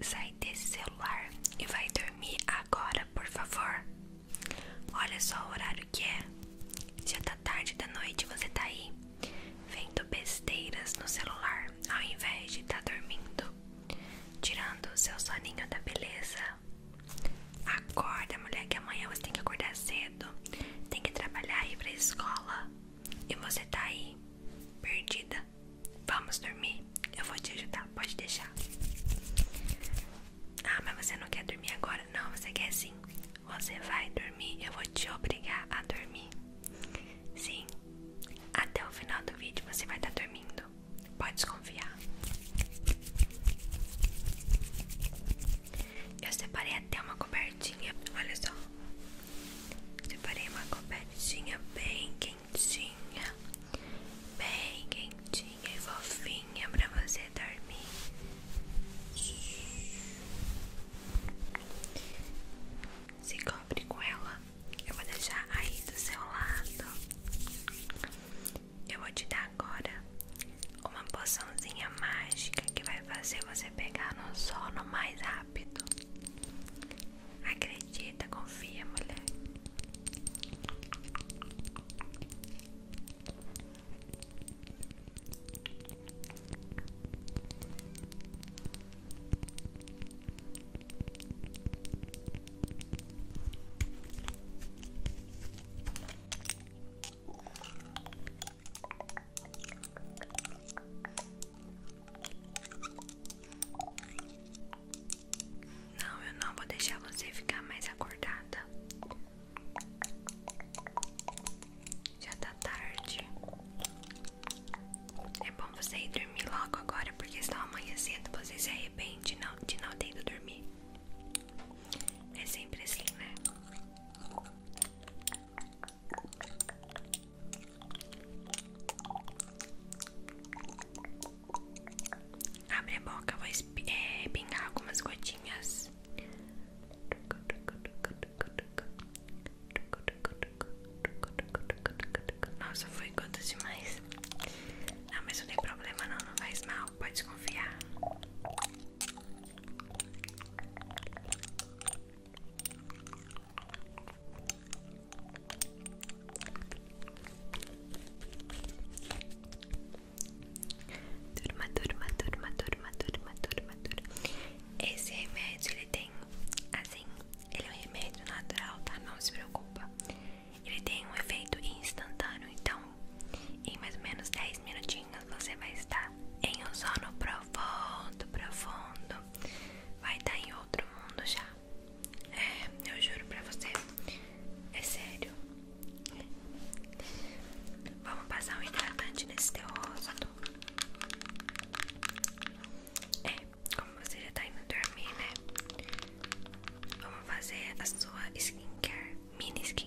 Sai desse celular e vai dormir agora, por favor. Olha só o horário que é. Já tá tarde da noite, você tá aí vendo besteiras no celular ao invés de tá dormindo, tirando o seu soninho da beleza. Acorda, mulher, que amanhã você tem que acordar cedo tem que trabalhar e ir pra escola. E você tá aí, perdida. Vamos dormir? Eu vou te ajudar, pode deixar. Ah, mas você não quer dormir agora? Não, você quer sim. Você vai dormir, eu vou te obrigar a dormir. Sim, até o final do vídeo você vai estar tá dormindo. Pode desconfiar. Eu separei até uma cobertinha. Olha só. Separei uma cobertinha bem quentinha. Bem quentinha e fofinha pra você dormir. Se cobre com ela. Eu vou deixar aí do seu lado. Eu vou te dar agora uma poçãozinha mágica que vai fazer você pegar no sono mais rápido. Acredita, confia, mulher. Não, eu não vou deixar você ficar mais acordada. Já tá tarde. É bom você ir dormir logo agora, porque senão amanhã cedo você se arrepende de não ter dormido. É sempre assim, né? Abre a boca, vou é, pingar algumas gotinhas. Nossa, foi gotas demais. Não, mas não tem problema não, não faz mal, pode desconfiar. Turma, turma, turma, turma, turma, turma, turma. Esse remédio ele tem, assim, ele é um remédio natural, tá? Não se preocupa. Ele tem um efeito instantâneo, então em mais ou menos 10 minutinhos você vai estar em um sono profundo, profundo. Vai estar em outro mundo já. É, eu juro pra você. É sério. Vamos passar um hidratante nesse teu rosto. É, como você já tá indo dormir, né? Vamos fazer a sua skincare, mini skincare.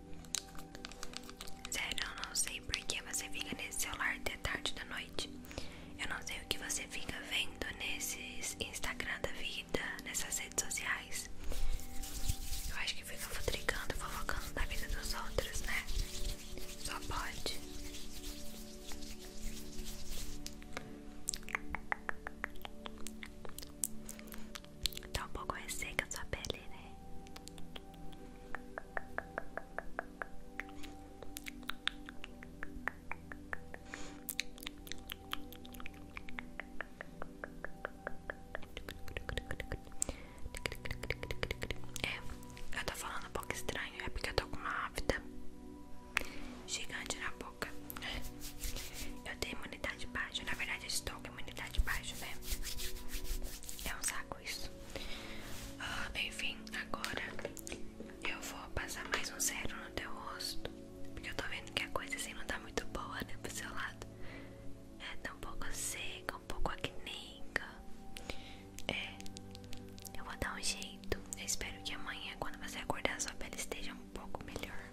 Sério, eu não sei por que você fica nesse celular até tarde da noite. Eu não sei o que você fica vendo nesses Instagram da vida, nessas redes sociais. Eu acho que fica futricando, fofocando na vida dos outros, né? Só pode. Tá um pouco seca a sua pele, né? É, eu tô falando um pouco estranho, é porque eu tô com uma afta gigante na boca. Eu tenho imunidade baixa, na verdade estou com imunidade baixa, né? É um saco isso. Ah, enfim, agora eu vou passar mais um zero no teu rosto. Porque eu tô vendo que a coisa assim não tá muito boa, né? Pro seu lado. É, tá um pouco seca, um pouco acneica. É, eu vou dar um jeito. Eu espero que amanhã, quando você acordar, sua pele esteja um pouco melhor.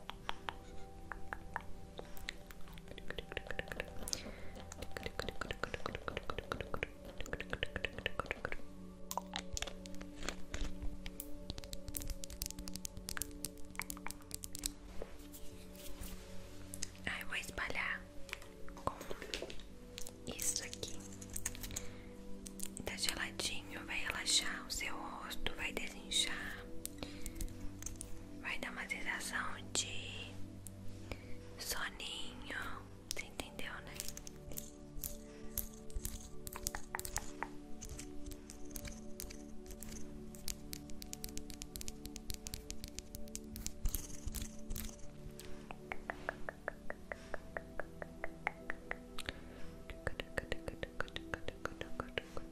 Aí ah, eu vou espalhar com isso aqui. Tá geladinho, vai relaxar o seu rosto, vai desinchar. Vai dar uma sensação de soninho. Você entendeu, né?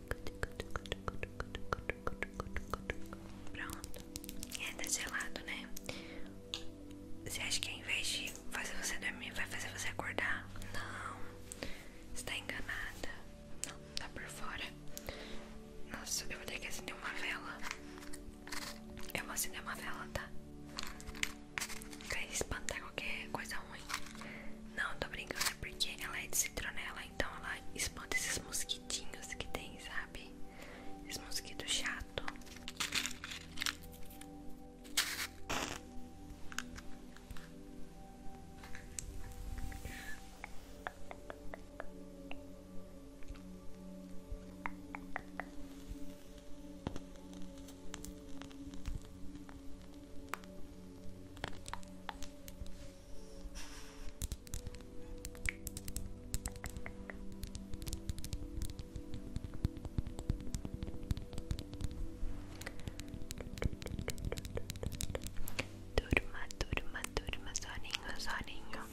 Pronto. É, tá gelado, né? Você acha que ao invés de fazer você dormir, vai fazer você acordar? Não. Você tá enganada. Não, tá por fora. Nossa, eu vou ter que acender uma vela. Eu vou acender uma vela, tá? Pra espantar qualquer coisa ruim. Não, tô brincando, é porque ela é de citronela então ela espanta esses mosquitinhos que tem, sabe? esses mosquitos chato. Turma, turma, turma, soninho, soninho.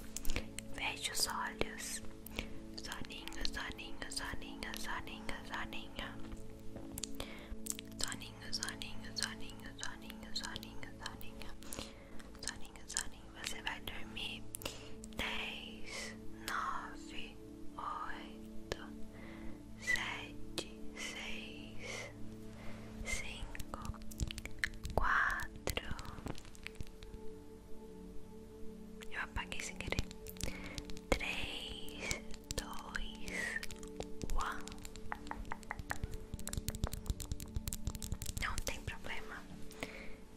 Feche os olhos. Soninho, soninho, soninho, soninho, soninho. Soninho, soninho, soninho, soninho, soninho, soninho, soninho, soninho, soninho. Você vai dormir 10, 9, 8, 7, 6, 5, 4. Eu apaguei sem querer. 3, 2, 1. Não tem problema.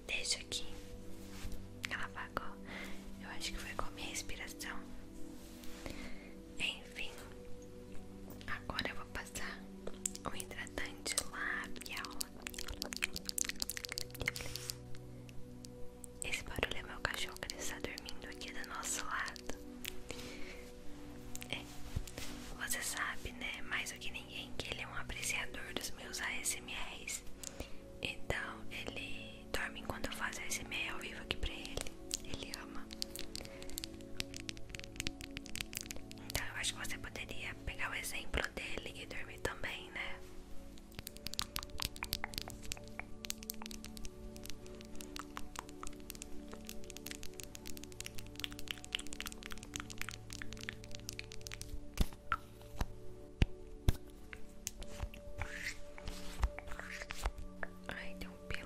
Deixa aqui. Ela apagou. Eu acho que foi com a minha respiração. Enfim. Agora eu vou passar o hidratante labial. Esse barulho é meu cachorro que ele está dormindo aqui do nosso lado. É, você sabe, né, mais do que ninguém, que ele é um apreciador dos meus ASMRs. Então, ele dorme enquanto eu faço ASMR ao vivo aqui pra ele. Ele ama. Então, eu acho que você poderia pegar o exemplo dele e dormir também, né? Ai, deu um pelo.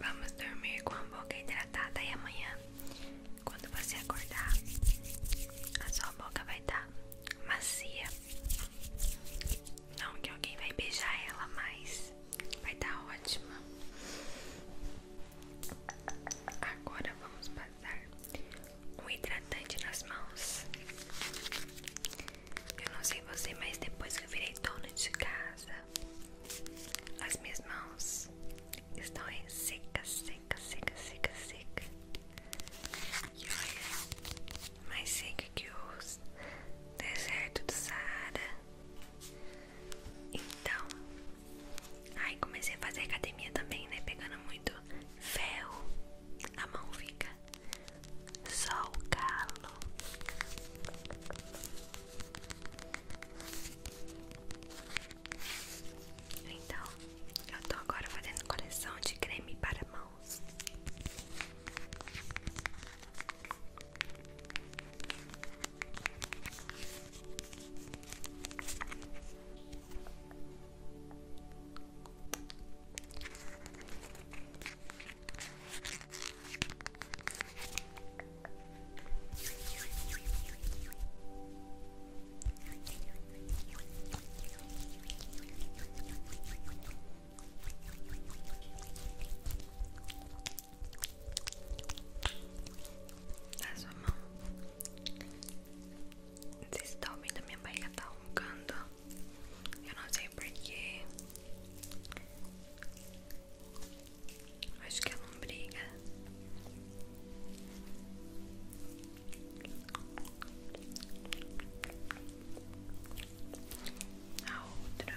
Vamos dormir com a boca hidratada e amanhã, quando você acordar, a sua boca vai estar tá macia. Não que alguém vai beijar ela, mas vai estar tá ótima. Agora vamos passar um hidratante nas mãos. Eu não sei você, mas depois que eu virei dona de casa, as minhas mãos estão em seca, seca, seca, seca, E olha, mais seca que os deserto do Saara. Então, aí comecei a fazer academia também, né? Pegando muito ferro, a mão fica só o calo. Então, eu tô agora fazendo coleção de creme para mãos. Na sua mão. Vocês estão tá ouvindo? Minha barriga tá roncando. Eu não sei porquê. Acho que é briga A outra.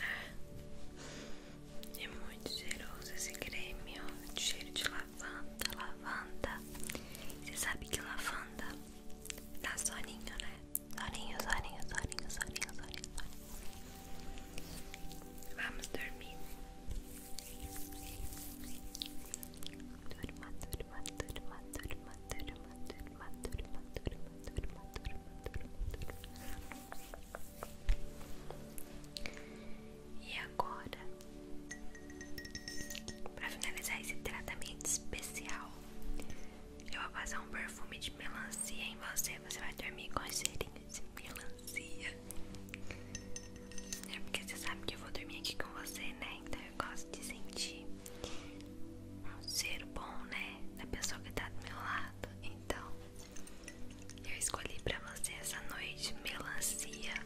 É. é muito cheiroso esse creme, cheiro de lavanda lavanda, lavanda. Você sabe que lavanda dá soninho, né? Soninho, soninho, soninho, soninho, soninho, Vamos dormir. Durma, durma, durma, durma, durma, durma, durma, durma, durma, durma, durma, durma. E agora, para finalizar esse tratamento especial, eu vou passar um perfume de melancia em você. Você vai dormir com cheirinho de melancia. É porque você sabe que eu vou dormir aqui com você, né? Então eu gosto de sentir um cheiro bom, né? Da pessoa que tá do meu lado. Então, eu escolhi pra você essa noite melancia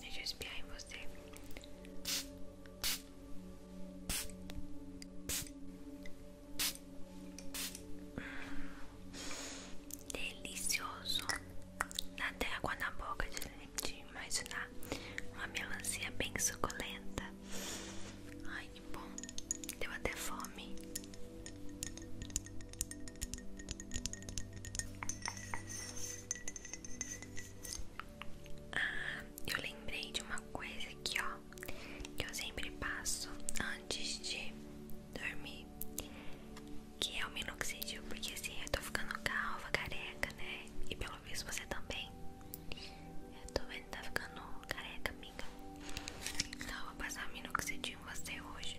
Deixa eu espiar em você. Delicioso. Dá até água na boca de, de imaginar uma melancia bem suculenta. Ai, que bom. Deu até fome. Ah, eu lembrei de uma coisa aqui, ó, que eu sempre passo antes de dormir, que é o minoxidil, porque assim eu tô ficando calva, careca, né? E pelo visto você também. Eu tô vendo que tá ficando careca, amiga. Então eu vou passar o minoxidil em você hoje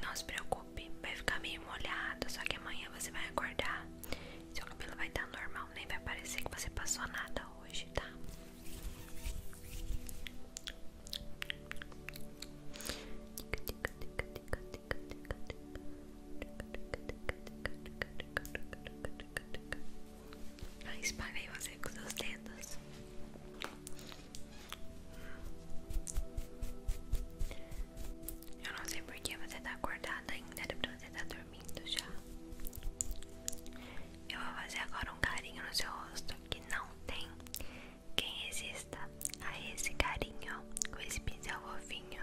Não se preocupe, vai ficar meio molhado, só que amanhã você vai acordar. Seu cabelo vai estar normal, nem vai parecer que você passou nada hoje, tá? Tica, tica, tica, tica, tica, tica, tica. Ah, espalhei você com seus dedos. Eu não sei porque você tá acordada ainda, era pra você estar tá dormindo já. Eu vou fazer agora um carinho no seu rosto que não tem quem resista a esse carinho com esse pincel fofinho.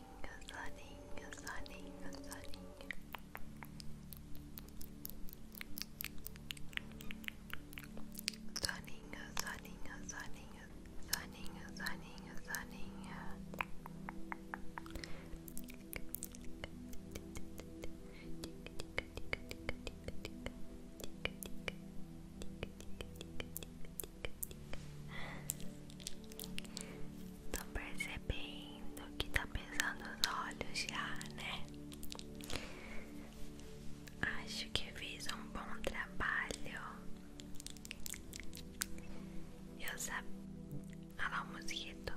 sunning, sunning, sunning. Sunning, sunning, sunning, sunning, sunning, sunning. Tô percebendo que tá pesando os olhos já, né? Acho que fiz um bom trabalho. Eu sabia. Olha lá o mosquito.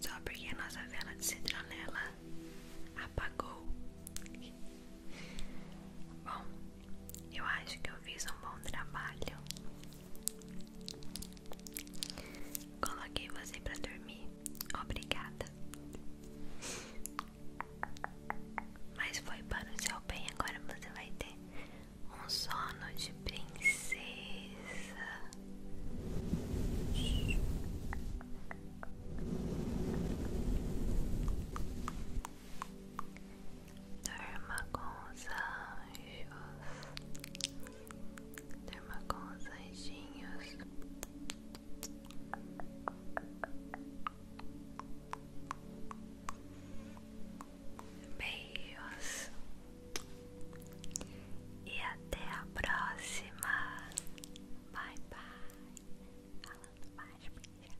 Só porque nossa vela de citronela apagou. Bom, eu acho que eu fiz um bom trabalho. Coloquei você pra dormir. Obrigada. Mas foi para o seu bem. Agora você vai ter um sono de princesa. Durma com os anjos. Durma com os anjinhos. Beijos. E até a próxima. Bye bye. Falando mais,